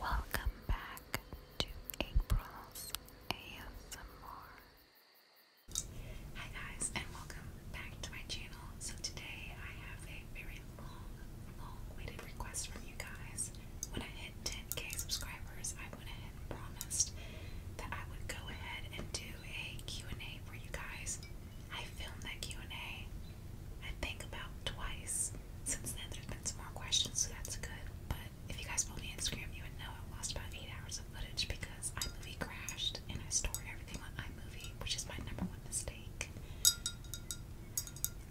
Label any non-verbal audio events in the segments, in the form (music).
Welcome back to April's ASMR. Hi guys and welcome back to my channel. So today I have a very long, long-waited request from you guys. When I hit 10k subscribers, I went ahead and promised that I would go ahead and do a Q&A for you guys. I filmed that Q&A. I think, about twice. Since then, there's been some more questions, so that's good. But if you guys follow me on Instagram, you would know I lost about eight hours of footage because iMovie crashed and I store everything on iMovie, which is my number one mistake.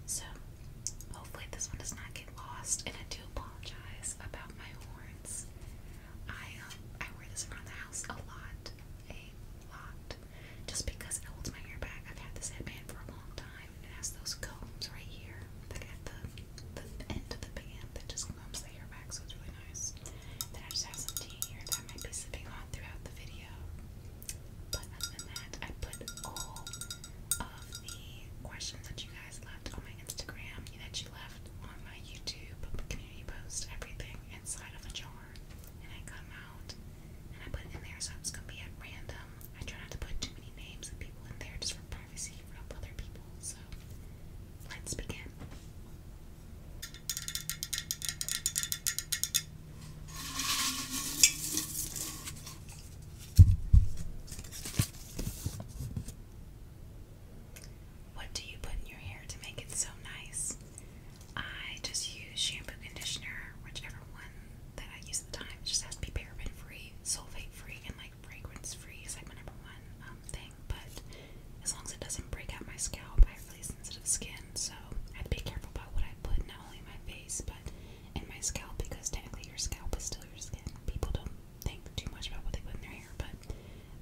So, hopefully, this one does not get lost. And I do apologize about my horns. I um, I wear this around the house a lot, a lot, just because it holds my hair back. I've had this headband for a long time and it has those combs right here that at the, the end of the band that just combs the hair back, so it's really nice. Then I just have some tea here that I might be sipping on throughout the video. But other than that, I put all of the questions that you guys left on my Instagram, that you left on my YouTube community post, everything inside of a jar. And I come out and I put it in there, so it's gonna be at random. I try not to put too many names and people in there just for privacy for other people. So let's begin. What do you put in your hair to make it so nice? I just use shampoo conditioner, whichever one that I use the time. It just has to be paraben free, sulfate free, and like fragrance free is like my number one um, thing. But as long as it doesn't break out my scalp, I have really sensitive skin, so I have to be careful about what I put not only my face but in my scalp because technically your scalp is still your skin. People don't think too much about what they put in their hair, but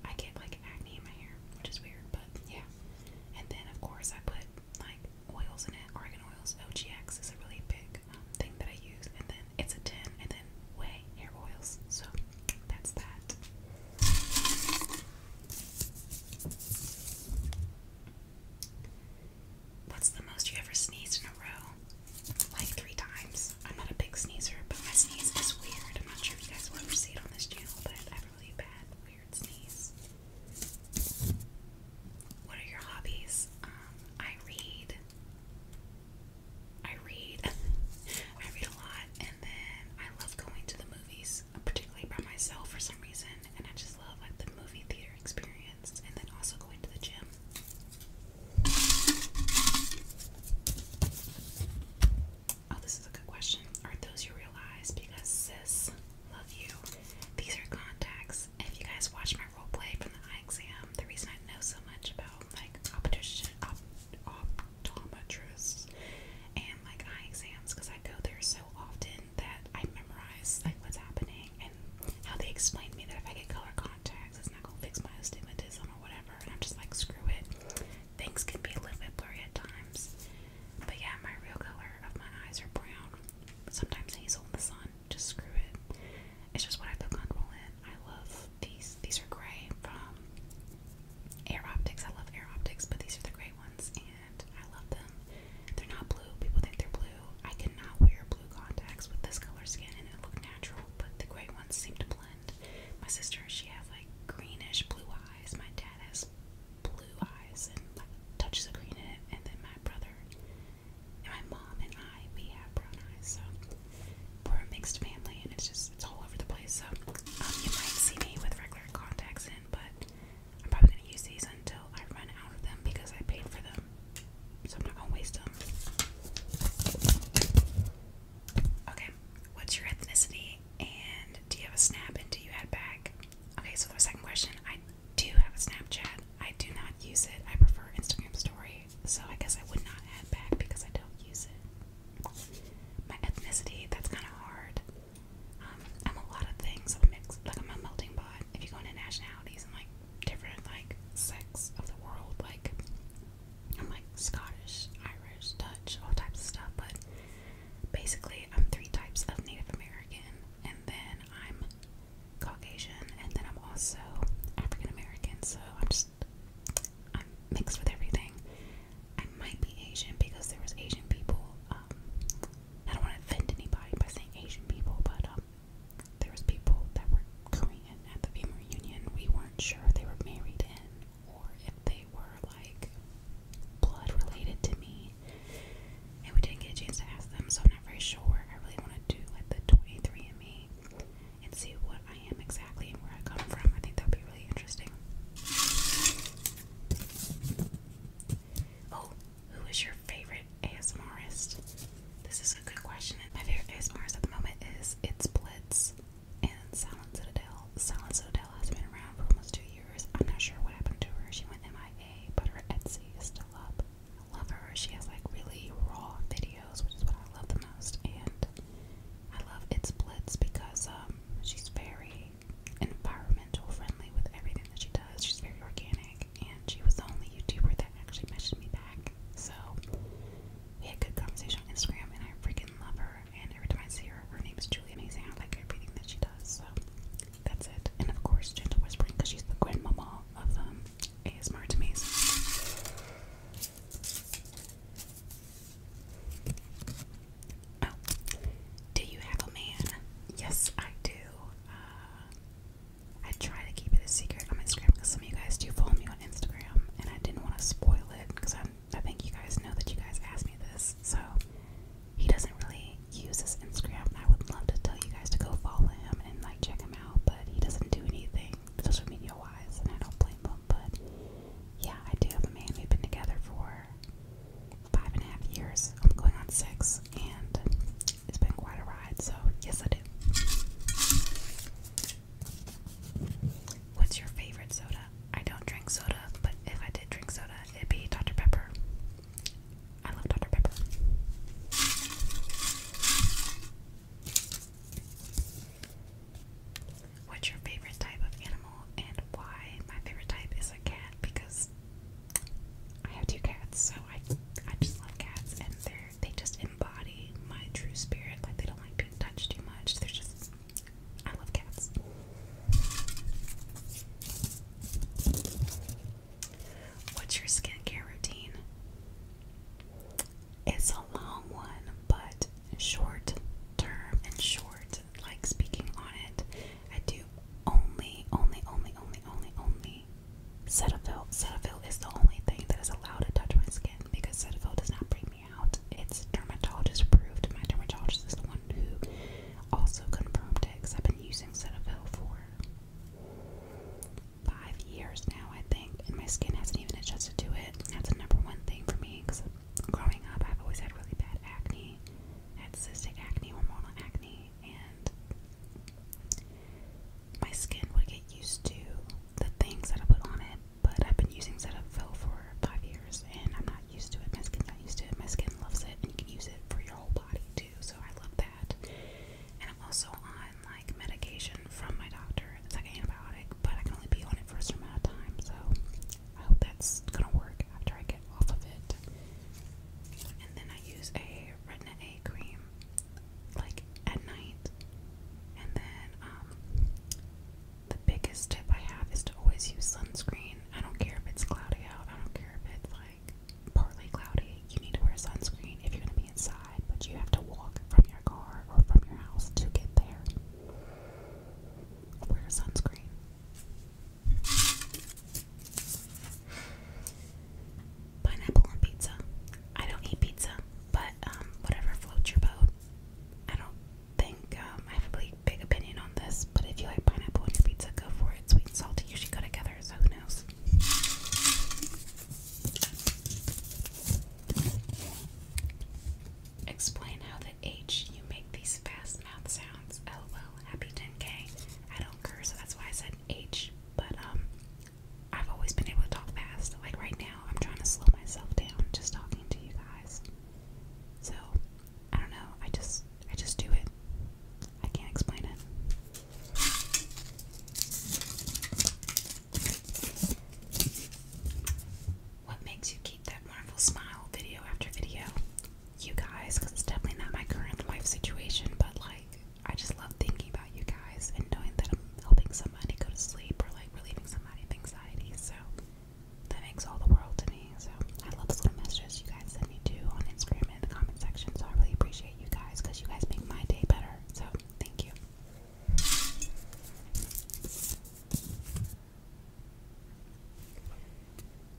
I get like acne in my hair, which is weird, but yeah. And then of course I put like oils in it, Oregon oils. OGX is a really big um, thing that I use, and then it's a tin, and then way hair oils. So that's that. What's the most you ever sneezed in a row? Like three times. I'm not a big sneezer, but my sneeze is weird. I'm not sure if you guys ever see it on this channel, but I have really bad, weird sneeze. What are your hobbies? Um, I read. I read. (laughs) I read a lot, and then I love going to the movies, particularly by myself for some reason. And I just love like the movie theater experience, and then also going to the gym. Oh, this is a good question. Are those your real eyes? Because sis Love you. These are contacts. If you guys watched my role play from the eye exam, the reason I know so much about like optician, op optometrists and like eye exams because I go there so often that I memorize like what's happening and how they explain to me that if I get color contacts, it's not gonna fix my astigmatism or whatever. And I'm just like, screw it. Things can be a little bit blurry at times. But yeah, my real color of my eyes are brown. Sometimes hazel in the sun, just screw it. It's just what I put on Roland. I love these. These are gray from Air Optics. I love Air Optics, but these are the gray ones, and I love them. They're not blue. People think they're blue. I cannot wear blue contacts with this color skin, and it look natural. But the gray ones seem to blend. My sister, she has like greenish blue eyes. My dad has blue eyes and like touches of green in it, and then my brother my mom and I, we have brown eyes, so we're a mixed family, and it's just it's all over the place. So um, you might see me with regular contacts in, but I'm probably gonna use these until I run out of them because I paid for them, so I'm not gonna waste them. Okay, what's your ethnicity, and do you have a snap, and do you add back? Okay, so the second question, I do have a Snapchat. I do not use it. I prefer Instagram story. So I guess I would not add back because I don't use it. My ethnicity, that's kind of hard. Um, I'm a lot of things. I'm a mix, like I'm a melting pot. If you go into nationalities and like different like sex of the world, like I'm like Scottish, Irish, Dutch, all types of stuff. But basically, I'm three types of Native American, and then I'm Caucasian, and then I'm also African American, so I'm just I'm mixed with everything. I might be Asian because there was Asian people. Um, I don't want to offend anybody by saying Asian people, but um, there was people that were Korean at the family reunion. We weren't sure if they were married in or if they were like blood related to me and we didn't get a chance to ask them, so I'm not very sure. I really want to do like the 23andMe and see what I am exactly and where I come from. I think that would be really interesting. Oh, who is your favorite ASMRist? This is a good question. My favorite ASMRist at the moment is It's Blitz and Silent Citadel. Silent Citadel has been around for almost two years. I'm not sure what happened to her. She went MIA, but her Etsy is still up. I love her. She has like really raw videos, which is what I love the most. And I love It's Blitz because um, she's very environmental friendly with everything that she does. She's very organic, and she was the only YouTuber that actually messaged me back. So we had good conversation on Instagram, and I freaking love her. And every time I see her, her name is truly amazing. I like everything that she does. So that's it. And of course, Gentle Whispering because she's the grandmama of um, ASMR to me. Oh, do you have a man? Yes, I do. Uh, I try to keep it a secret on Instagram because some of you guys do follow me on Instagram, and I didn't want to spoil it because I think you guys know that you guys asked me this. So he doesn't really Use uses Instagram, and I would love to tell you guys to go follow him and like check him out, but he doesn't do anything social media wise, and I don't blame him. But yeah, I do have a man. We've been together for five and a half years. I'm going on six, and it's been quite a ride. So yes, I do. What's your favorite soda? I don't drink soda, but if I did drink soda, it'd be Dr. Pepper. I love Dr. Pepper. What's your favorite type of animal and why? My favorite type is a cat because I have two cats, so I I just love cats and they they just embody my true spirit. Like they don't like being touched too much. They're just I love cats. What's your skincare routine? It's a long one, but short term and short, like speaking on it. I do only, only, only, only, only, only Cetaphil. Cetaphil is the only thing that is allowed to touch my skin because Cetaphil does not bring me out. It's dermatologist approved. My dermatologist is the one who also confirmed it because I've been using Cetaphil for five years now, I think, and my skin hasn't even adjusted to it. That's the number one thing for me because growing up, I've always had really bad acne. I had cystic acne, hormonal acne, and my skin would get used to the things that I put on it. But I've been using Cetaphil for five years, and I'm not used to it. My skin's not used to it. My skin loves it, and you can use it for your whole body too so I love that. And I'm also on like medication from my doctor. It's like an antibiotic, but I can only be on it for a certain amount of time, so I hope that's gonna work after I get off of it. And then I use a retin A cream like at night. And then um the biggest tip I have is to always use sunscreen. I don't care if it's cloudy out, I don't care if it's like partly cloudy. You need to wear sunscreen if you're going to be inside, but you have to walk from your car or from your house to get there. Wear sunscreen. Pineapple and pizza. I don't eat pizza, but um, whatever floats your boat. I don't think um, I have a really big opinion on this, but if you like pineapple and pizza, go for it. Sweet and salty usually go together, so who knows? Explain how the H you make these fast mouth sounds. LOL, happy 10K. I don't curse, so that's why I said H, but um, I've always been able to talk fast. Like right now, I'm trying to slow myself down just talking to you guys. So, I don't know. I just I just do it. I can't explain it. What makes you keep that wonderful smile video after video? You guys, because it's definitely not my current life situation, but like, I just love thinking about you guys and knowing that I'm helping somebody go to sleep or like relieving somebody of anxiety. So that makes all the world to me. So I love those little messages you guys send me too on Instagram and in the comment section. So I really appreciate you guys because you guys make my day better. So, thank you.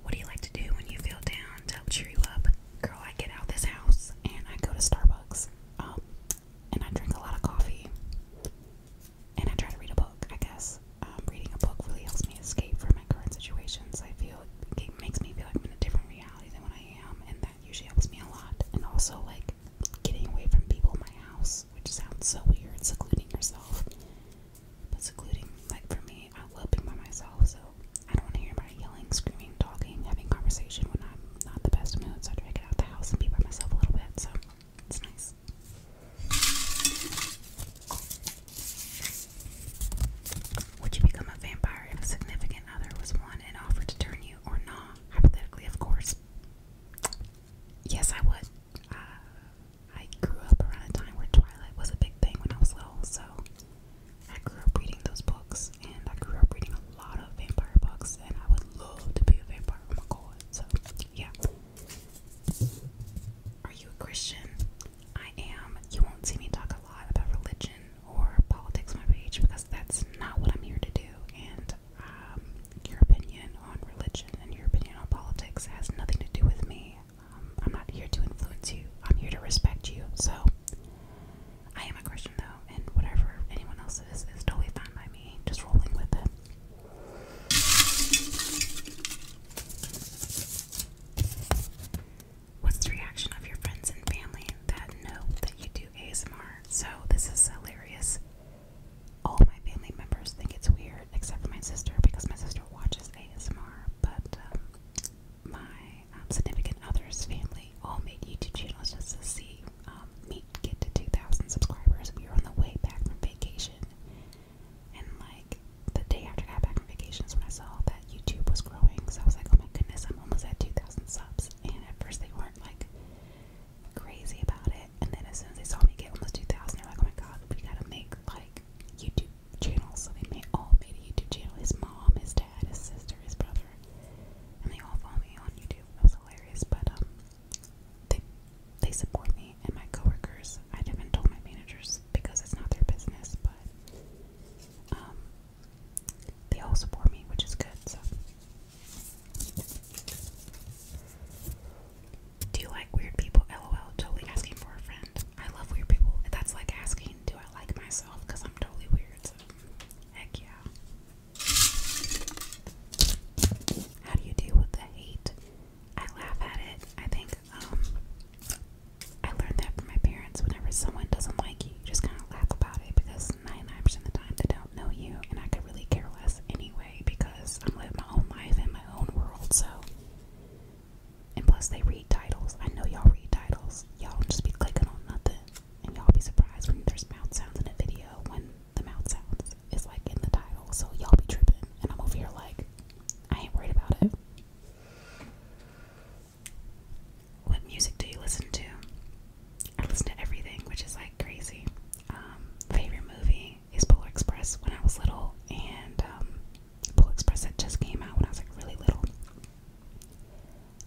What do you like to do when you feel down to cheer you up? Girl, I get out this house and I go to Starbucks. Um, and I drink a lot of coffee. And I try to read a book, I guess. Um, reading a book really helps me escape from my current situations. I feel it makes me feel like I'm in a different reality than what I am, usually helps me a lot. And also, like, getting away from people in my house, which sounds so weird, secluding yourself. But secluding, like, for me, I love being by myself, so I don't want to hear anybody yelling, screaming, talking, having conversation when I'm not the best mood, so I try it get out the house and be by myself a little bit, so it's nice. Would you become a vampire if a significant other was one on offer to turn you or not? Hypothetically, of course. Yes, I would. Uh, I grew up around a time where Twilight was a big thing when I was little, so I grew up reading those books, and I grew up reading a lot of vampire books, and I would love to be a vampire. my god! So, yeah. Are you a Christian? I am. You won't see me talk a lot about religion or politics my page because that's not what I'm here to do. And um, your opinion on religion and your opinion on politics has nothing to do with me. Um, I'm not here to influence you. I'm here to respect you. So I am a Christian though, and whatever anyone else is is totally fine by me. Just rolling with it. What's the reaction of your friends and family that know that you do ASMR? So this is hilarious. All my family members think it's weird, except for my sister, because my sister watches ASMR. But um, my um, significant other's family all made YouTube channels just to see um, me get to 2,000 subscribers. We were on the way back from vacation, and like the day after I got back from vacation is when I saw that YouTube was growing. So I was like, oh my goodness, I'm almost at 2,000 subs nails, and at first they weren't like crazy about it. And then as soon as they saw me get almost 2,000, they're like, oh my god, we gotta make like YouTube channels. So they made, all made a YouTube channel his mom, his dad, his sister, his brother, and they all follow me on YouTube. It was hilarious, but um, they, they support me and my coworkers. I haven't told my managers because it's not their business, but um, they all support me, which is good. So, do you like weird people? LOL. Totally asking for a friend. I love weird people. That's like asking, do I like myself? Because I'm totally weird. heck yeah. How do you deal with the hate? I laugh at it. I think um, I learned that from my parents. Whenever someone doesn't like you, you just kind of laugh about because 99% of the time they don't know you, and I could really care less anyway because I'm living my own life in my own world, so. And plus, they read titles. I know y'all read titles. Y'all just be clicking on nothing, and y'all be surprised when there's mouth sounds in a video when the mouth sounds is like in the title, so y'all be tripping, and I'm over here like, I ain't worried about it. What music do you listen to? I listen to everything, which is like crazy. Um, favorite movie is Polar Express when I was little, and um, Polar Express that just came out when I was like really little.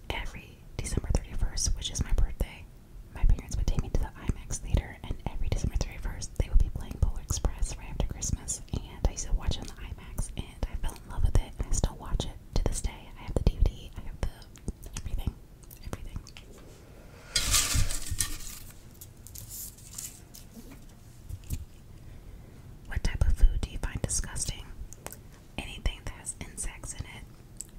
Every December 31st, which is my birthday, my parents would take me to the IMAX theater, and every December 31st, they would be playing Polar Express right after Christmas. And I used to watch it on the IMAX, and I fell in love with it, and I still watch it to this day. I have the DVD, I have the everything. Everything. What type of food do you find disgusting? Anything that has insects in it.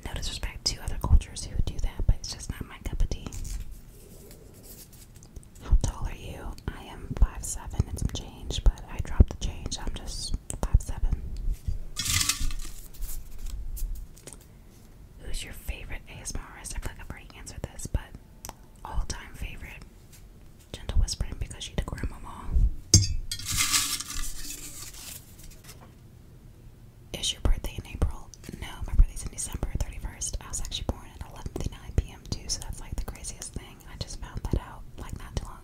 No disrespect to other cultures who do that, but it's just not my cup of tea. How tall are you? I am five seven and some change, but I dropped the change. I'm just Top seven. Who's your favorite ASMR? I feel like I've already answered this, but all-time favorite. Gentle whispering because she did grandmama. Is your birthday in April? No, my birthday's in December 31st. I was actually born at 11:59 p.m. too, so that's like the craziest thing. I just found that out like not too long.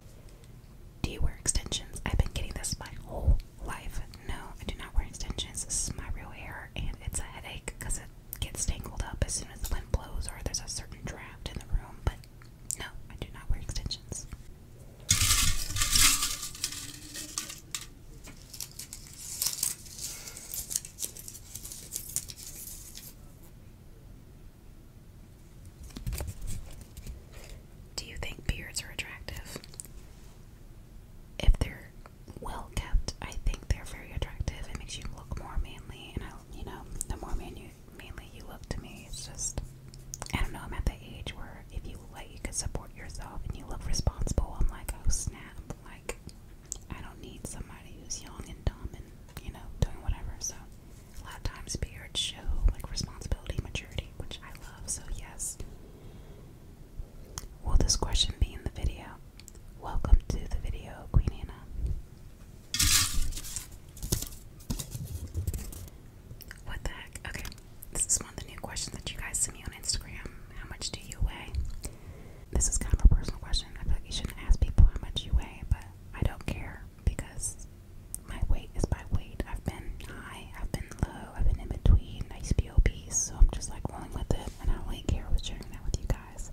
Do you wear extensions? I've been getting this my whole life. No, I do not wear extensions. This is my real hair, and it's a headache because it gets tangled up as soon as the wind blows or there's a certain draft in the room. But no, I do not wear extensions. Do you think beards are attractive? If they're well kept, I think they're very attractive. It makes you look more manly, and I, you know, the more manly mainly you look to me, it's just I don't know. I'm at the age where if you like, you can support yourself and you look responsible. I'm like, oh snap! Like I don't need somebody who's young and dumb and you know doing whatever. So a lot of times beards show like responsibility, maturity, which I love, so yes. Will this question be in the video? Welcome to the video, Queen Anna. What the heck? Okay, this is one of the new questions that you guys send me on Instagram. How much do you weigh? This is kind of a personal question. I feel like you shouldn't ask people how much you weigh, but I don't care because my weight is by weight. I've been high, I've been low, I've been in between, nice POBs, so I'm just like rolling with it, and I don't really care with sharing that with you guys.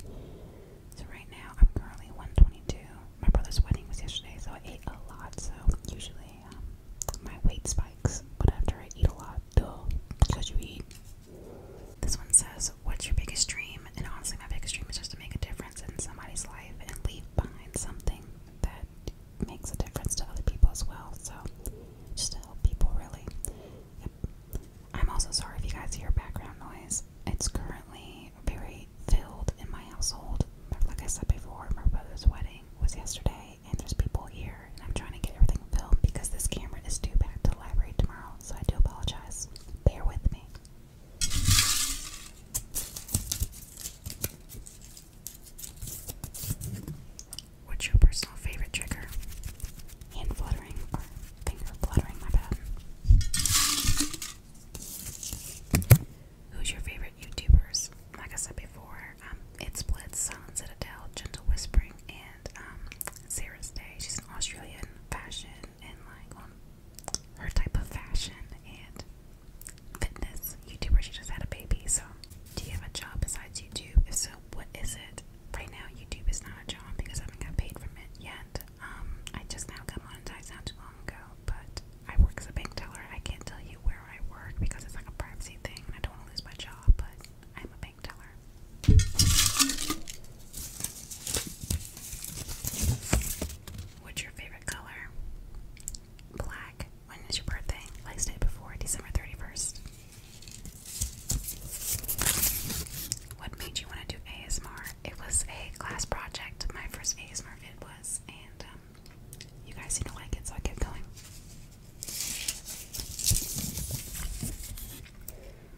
So right now, I'm currently 122. My brother's wedding was yesterday, so I ate a lot, so usually um, my weight spikes, but after I eat a lot, duh, because you eat. This one says, what's your biggest dream? And honestly, my biggest dream is just to make a difference in somebody's life and leave behind something that makes a difference to other people as well. So, just to help people, really. I'm also sorry if you guys hear background noise. It's currently very filled in my household. Like I said before, my brother's wedding was yesterday, and there's people here, and I'm trying to get everything filmed because this camera is due back to library tomorrow. So, I do apologize. Bear with me. What's your personal favorite trigger? Hand fluttering or finger fluttering, my bad. Who's your favorite YouTubers? Like I said before, um, it splits Silence Gentle Whispering, and um, Sarah's Day. She's an Australian fashion and like on her type of fashion and fitness YouTuber. She just had a baby. So, do you have a job besides YouTube? If so, what is it? Right now, YouTube is not a job because I haven't got paid from it yet. Um, I just now got monetized not too long ago, but I work as a bank teller. I can't tell you where I work because it's like a privacy thing, and I don't want to lose my job. But I'm a bank teller. What's your favorite color? Black. When is your birthday? Last day before December 31st. What made you want to do ASMR? It was a class project. My first ASMR vid was, and um, you guys seem to like it, so I keep going.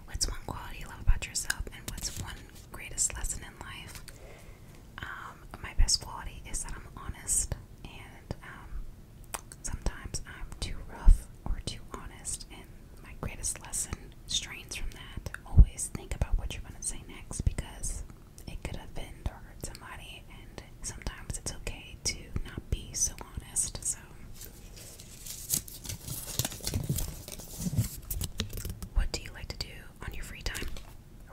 What's one quality you love about yourself, and what's one greatest lesson in life? Um, my best quality is that I'm honest, and um, sometimes I'm too rough or too honest, and my greatest lesson strains from that. Always think about what you're going to say next because it could offend or hurt somebody, and sometimes it's okay to not be so honest. So, what do you like to do on your free time?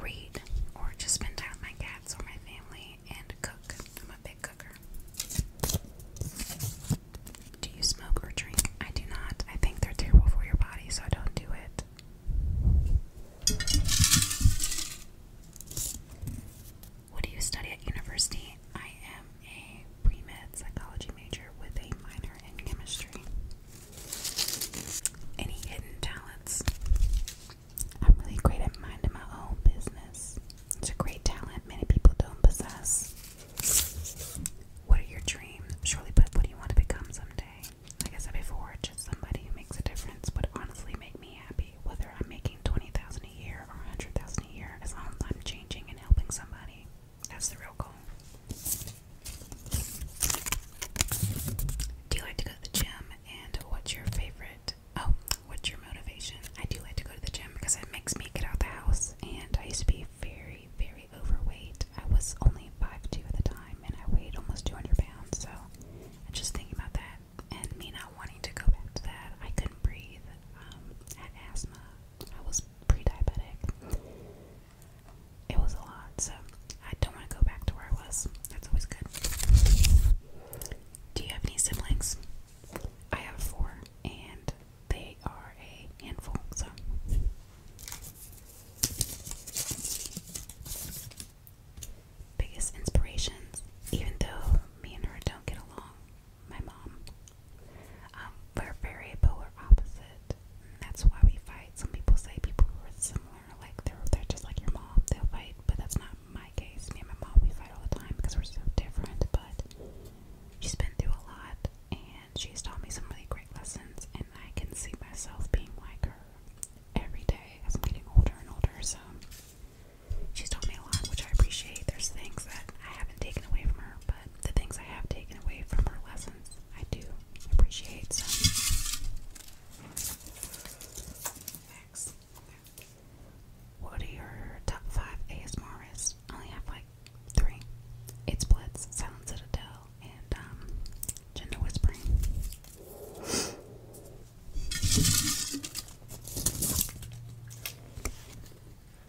read, or just spend time with my cats or my family and cook. I'm a big cooker. Do you smoke or drink? I do not. I think they're terrible for your body, so I don't do it. What do you study at university? I am a pre psychology major with a minor in chemistry. Any hidden talents? I'm really great at minding my own business. It's a great talent many people don't possess. What are your dreams? Surely, but what do you want to become someday? Like I said before, just somebody who makes a difference But honestly make me happy, whether I'm making 20000 a year or 100000 a year, as long as I'm changing and helping somebody. That's the real goal. Do you like to go to the gym? and what's your favorite? Oh, what's your motivation? I do like to go to the gym because it makes me get out the house. And I used to be very, very overweight. I was only 5'2 at the time, and I weighed almost 200 pounds. So I'm just thinking about that. And me not wanting to go back to that, I couldn't breathe. Um, I had asthma. I was pre-diabetic. It was a lot, so I don't want to go back to where I was. That's always good. Do you have any siblings? I have four, and they are a handful, so. Biggest inspirations, even though me and her don't get along, my mom. Um, we're very polar opposite. that's why we fight. Some people say people are similar like they're they're just like your mom, they'll fight, but that's not my case. Me and my mom we fight all the time because we're so different, but she's been through a lot and she's taught me some really great lessons and I can see myself being like her every day as I'm getting older and older, so she's taught me a lot, which I appreciate. There's things that I haven't taken away from her, but the things I have taken away from her lessons I do appreciate so what are your top five ASMRs? I only have like three. It's Blitz, Silent Citadel, and um, Gender Whispering.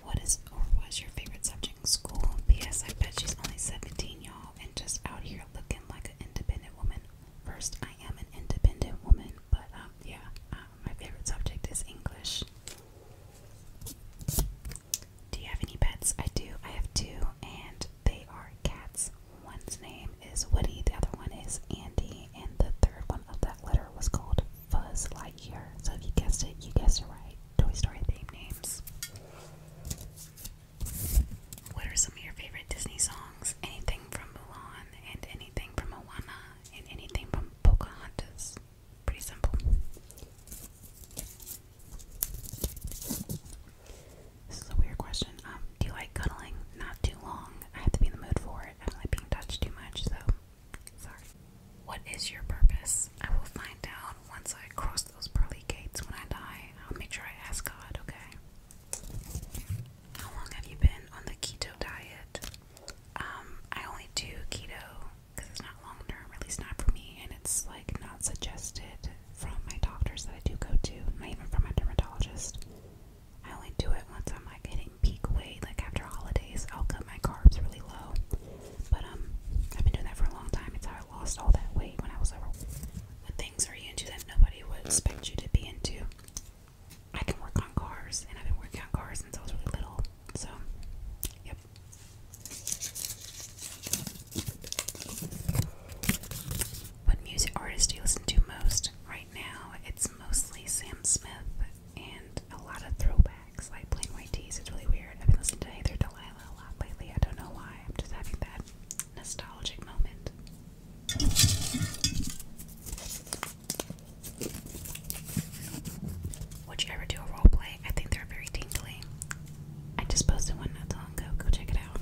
What is or was your favorite subject in school? P.S. I bet she's only 17, y'all, and just out here looking like an independent woman First, I am an independent woman, but um, yeah, um, my favorite subject is English. Do you have any pets? I do. I have two, and they are cats. One's name is Woody, the other one is Andy, and the third one of that letter was called Fuzz Lightyear. So if you guessed it, you guessed it right. Toy Story theme names. What are some of your favorite Disney songs? Anything from Mulan, and anything from Moana, and anything from Pocahontas. Pretty simple. This is a weird question. Um, do you like cuddling? Not too long. I have to be in the mood for it. I don't like being touched too much, so sorry. What is your purpose? I will find out once I cross those pearly gates when I die. I'll make sure I ask God, okay? How long have you been on the keto diet? Um, I only do keto because it's not long term, at least not for me, and it's like not suggested from my doctors that I do go to, not even from my dermatologist. I only do it once I'm like hitting peak weight, like after holidays, I'll cut my carbs really low. But um, I've been doing that for a long time. It's how I lost all that weight when I was over what things are you into that nobody would expect you to be into? I can work on cars, and I've been working on cars since I was really little. So, yep. What music artist do you listen to most? Right now, it's mostly Sam Smith and a lot of throwbacks, like plain white tees. It's really weird. I've been listening to Heather Delilah a lot lately. I don't know why. I'm just having that nostalgic moment. Would you ever do a role I think they're very tingly. I just posted one not too long ago. Go check it out.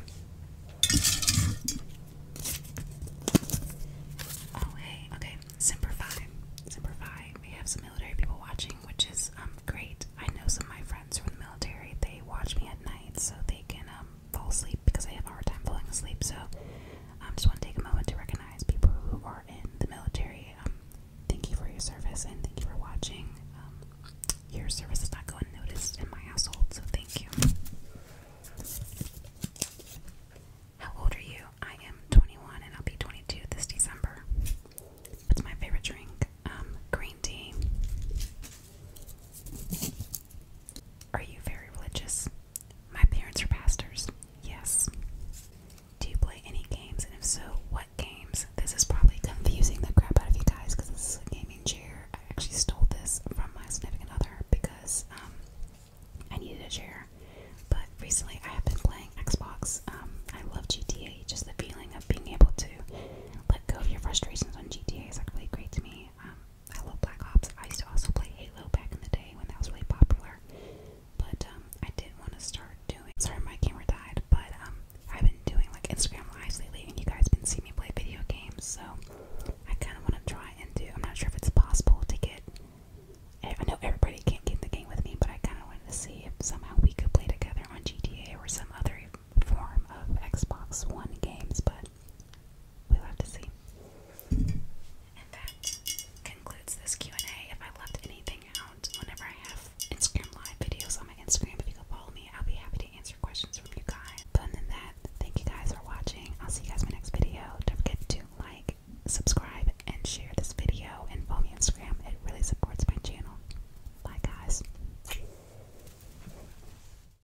Oh hey, okay. Simplify, simplify. We have some military people watching, which is um great. I know some of my friends from the military. They watch me at night, so they can um fall asleep because I have hard time falling asleep. So I um, just want to take a moment to recognize people who are in the military. Um, thank you for your service and thank you for watching. Um, your service is not going unnoticed in my household, so thank you. How old are you? I am 21 and I'll be 22 this December. What's my favorite drink? green tea. Are you very religious? My parents are pastors. Yes. Do you play any games? And if so, what games? This is probably confusing the crap out of you guys because this is a gaming chair. I actually stole this from my significant other because um, I needed a chair. But recently I have been playing Xbox. Um, I love GTA. Just the feeling of being able to let go of your frustrations on GTA is like really great to me. Um, I love Black Ops. I used to also play Halo back in the day when that was really popular. But um, I did want to start doing. Sorry, my camera died, but um, I've been doing like Instagram lives lately, and you guys been seeing me play video games. So I kind of want to try and do. I'm not sure if it's possible to get. Eh, I know everybody can't get the game with me, but I kind of wanted to see if somehow we could play together on GTA or some other form of Xbox One games. But We'll have to see. And that concludes this Q&A. If I left anything out, whenever I have Instagram live videos on my Instagram, if you go follow me, I'll be happy to answer questions from you guys. other than that, thank you guys for watching. I'll see you guys in my next video. Don't forget to like, subscribe, and share this video. And follow me on Instagram. It really supports my channel. Bye, guys.